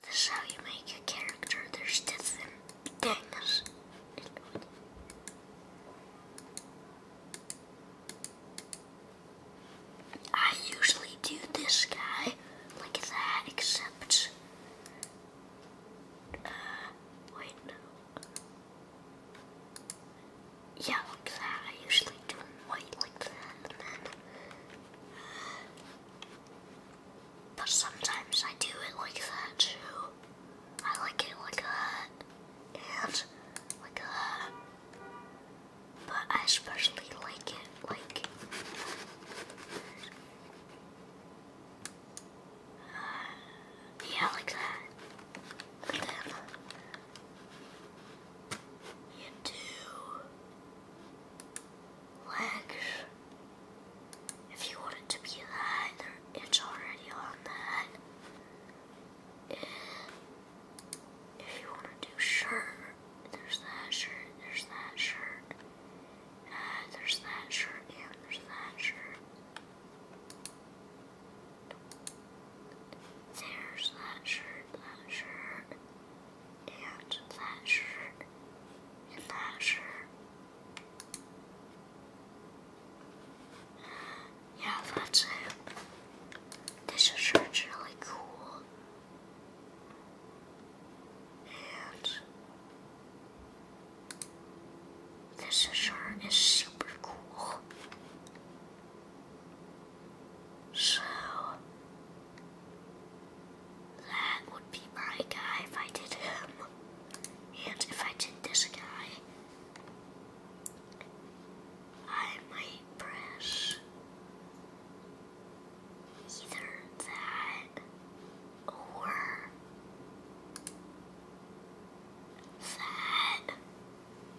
This is how you make a character. There's different things. I usually do this guy like that, except. Uh, wait, no. Yeah, like that. I usually do white like that, but sometimes I do it like that too. I like it like that. And like that. But I especially like it like. Uh, yeah, like that. And then you do legs if you want it to be either, it's already on that. If you want to do shirt, there's that shirt, there's that shirt, uh, there's that shirt, and there's that shirt. There's that shirt, that shirt, and that shirt and that shirt. Yeah, that's it. This shirt's really cool. And this shirt is super cool. So that would be my guy if I did him. And if I did this guy, I might press either that or that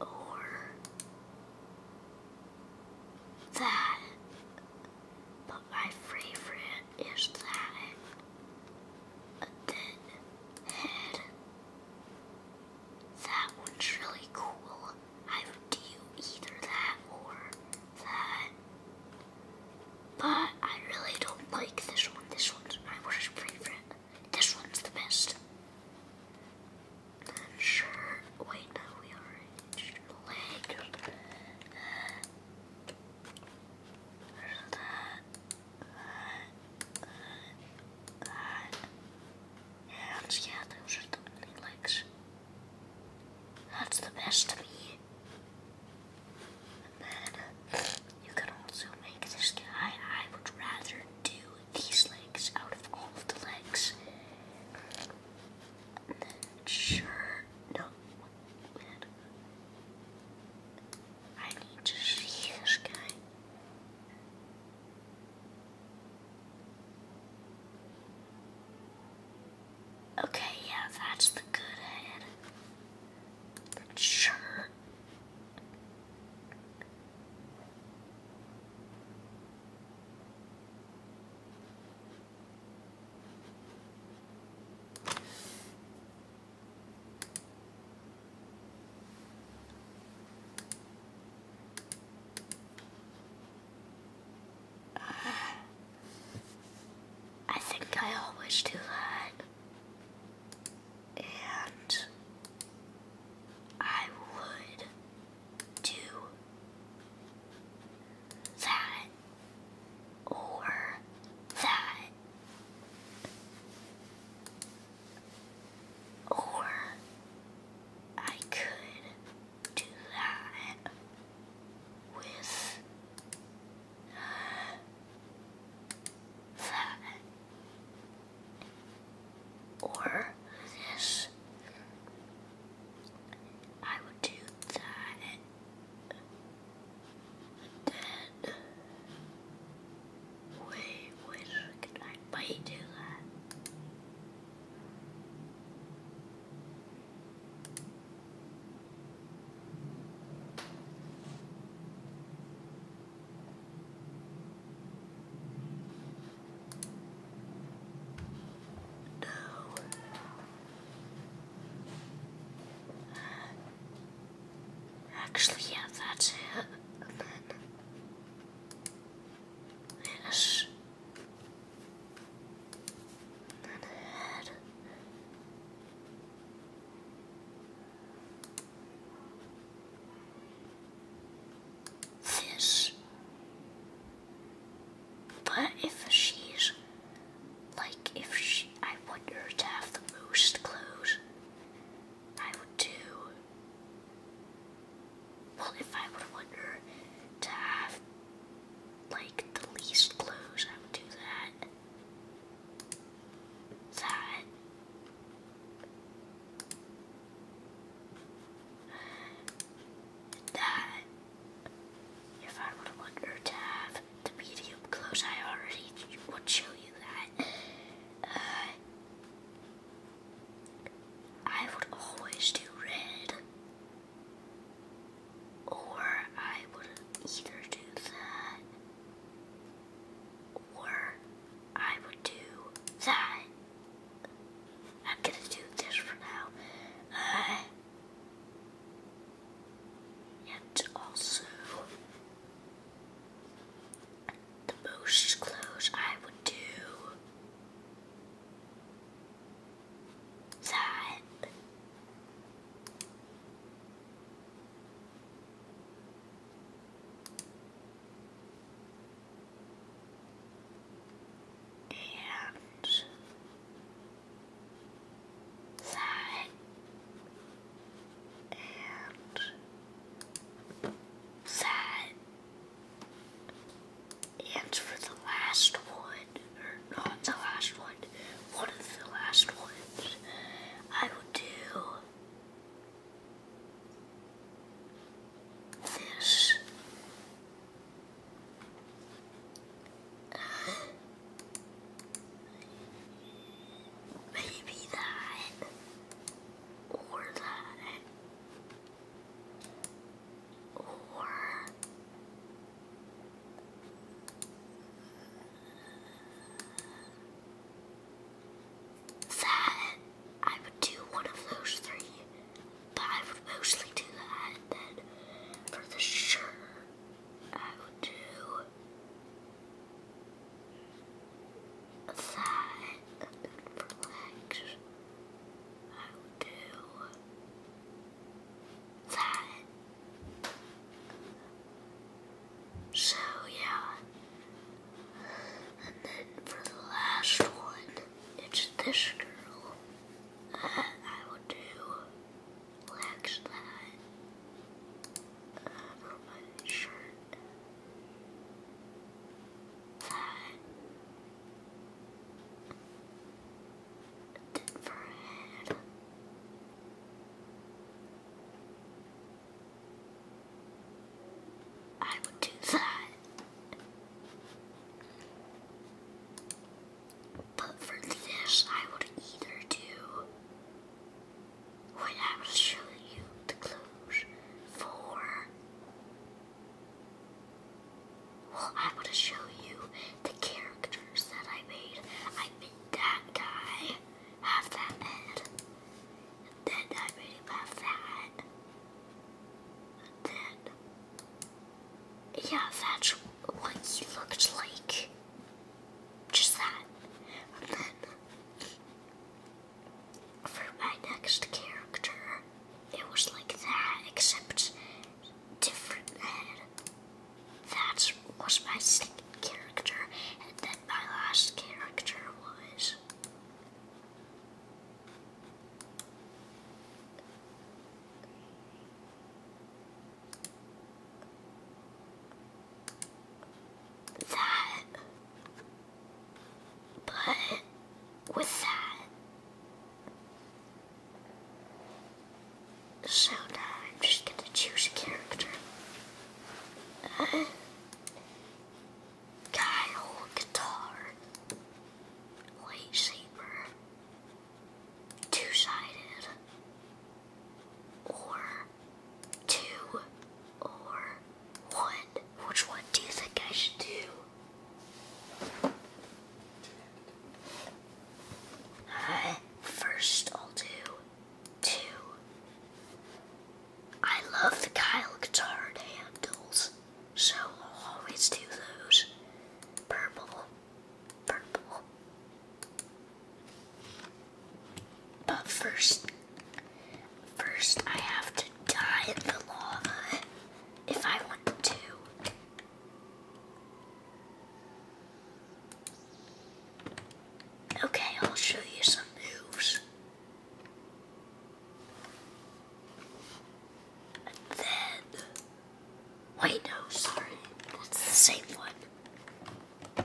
or that. But my favorite is that thin head. That one's really cool. I would do either that or that. But I really don't like this one. This one's my worst favorite. This one's the best. Then Wait, no, we already did legs. Hands, yeah, those are the only legs. That's the best to me. And then you can also make this guy. I would rather do these legs out of all the legs. sure, no, I need to see this guy. Okay, yeah, that's the good head. sure. Uh, I think I always do that, and I would do that, or that, or I could do that with that, or this. I would do that. Then, wait, wait, can I might do that? No. Actually, yeah, that's it. And then head. This. But if she's like if she, I want her to have the most clothes, I would do. Well, if I would want her to have like the least clothes, I would do that. That. That. If I would want her to have the medium clothes, I already would show you that. Uh, I would always do red, or I would either do that, or I would do that. I'm gonna do this for now. Uh, and also the most clothes I would do that and side and side. And for the last one, or not the last one, one of the last ones, I will do this. Maybe that. Or that. Or. That. I would do one of those three. But I would mostly do that then for the shirt. I will do that and then for legs I will do that. So yeah. And then for the last one, it's this girl. And I will do black slide my shirt. That did I would do that. But for this, I would either do what I will show you the clues for. Well, I want show you the characters that I made. I made that guy have that head. then I made him have that. then, yeah, that's what he looked like. Just that. And then for my next character, it was like that, except different That was my second character, and then my last character was that, but with that. So now I'm just gonna choose a character. Kyle Guitar. Lightsaber. Two-sided or two or one? Which one do you think I should do? Uh, first, I'll do two. I love the Kyle guitar handles, so I'll always do those. Purple, purple. But first, first I have to die in the lava if I want to. Okay, I'll show you some moves. then, wait, no, sorry, that's the same one.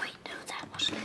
Wait, no, that wasn't it.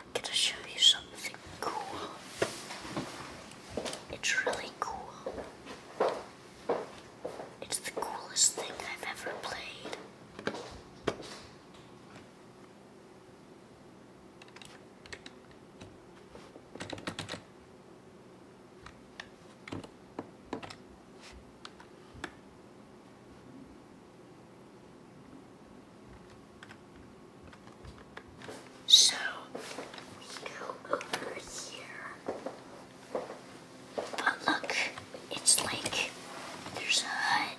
I'm gonna show you something cool. It's really cool. It's the coolest thing I've ever played. So we go over here. But look, it's like there's a hut.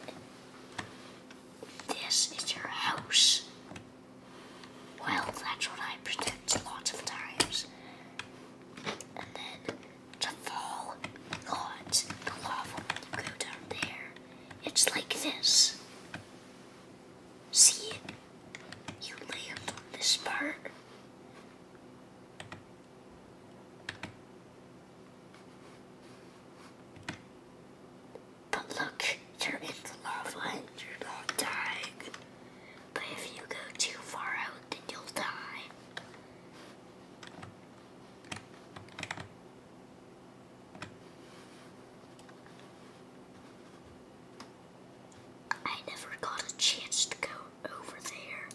This is your house. Well, that's what I predict lots of times. And then to fall, not the lava will go down there. It's like this. See? You land on this part. But look, you're in the lava and you're not dying. But if you go too far out, then you'll die. I never got a chance to go over there.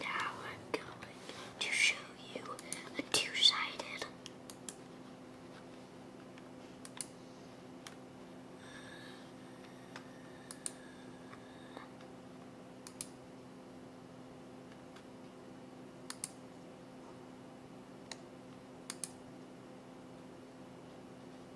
Now I'm going to show you a two-sided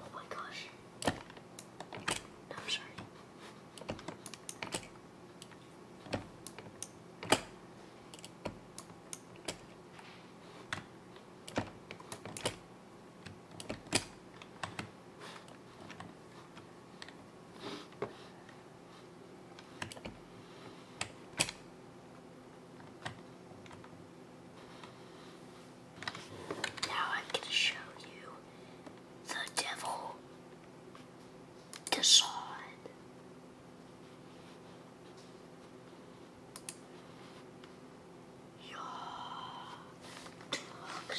Oh my gosh. No, sorry. Now I'm going to show you the devil Dishon. Your dark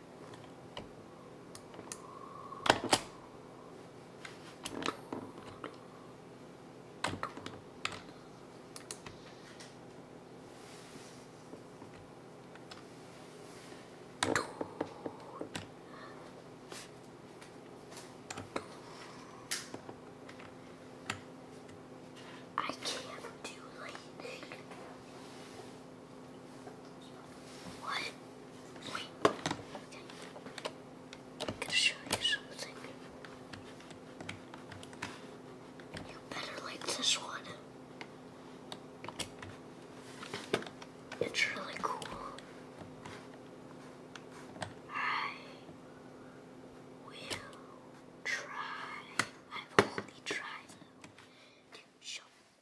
I can't do lightning. What? Wait. Okay. I'm gonna show you something. You better like this one. It's really cool. I will try. I will try to show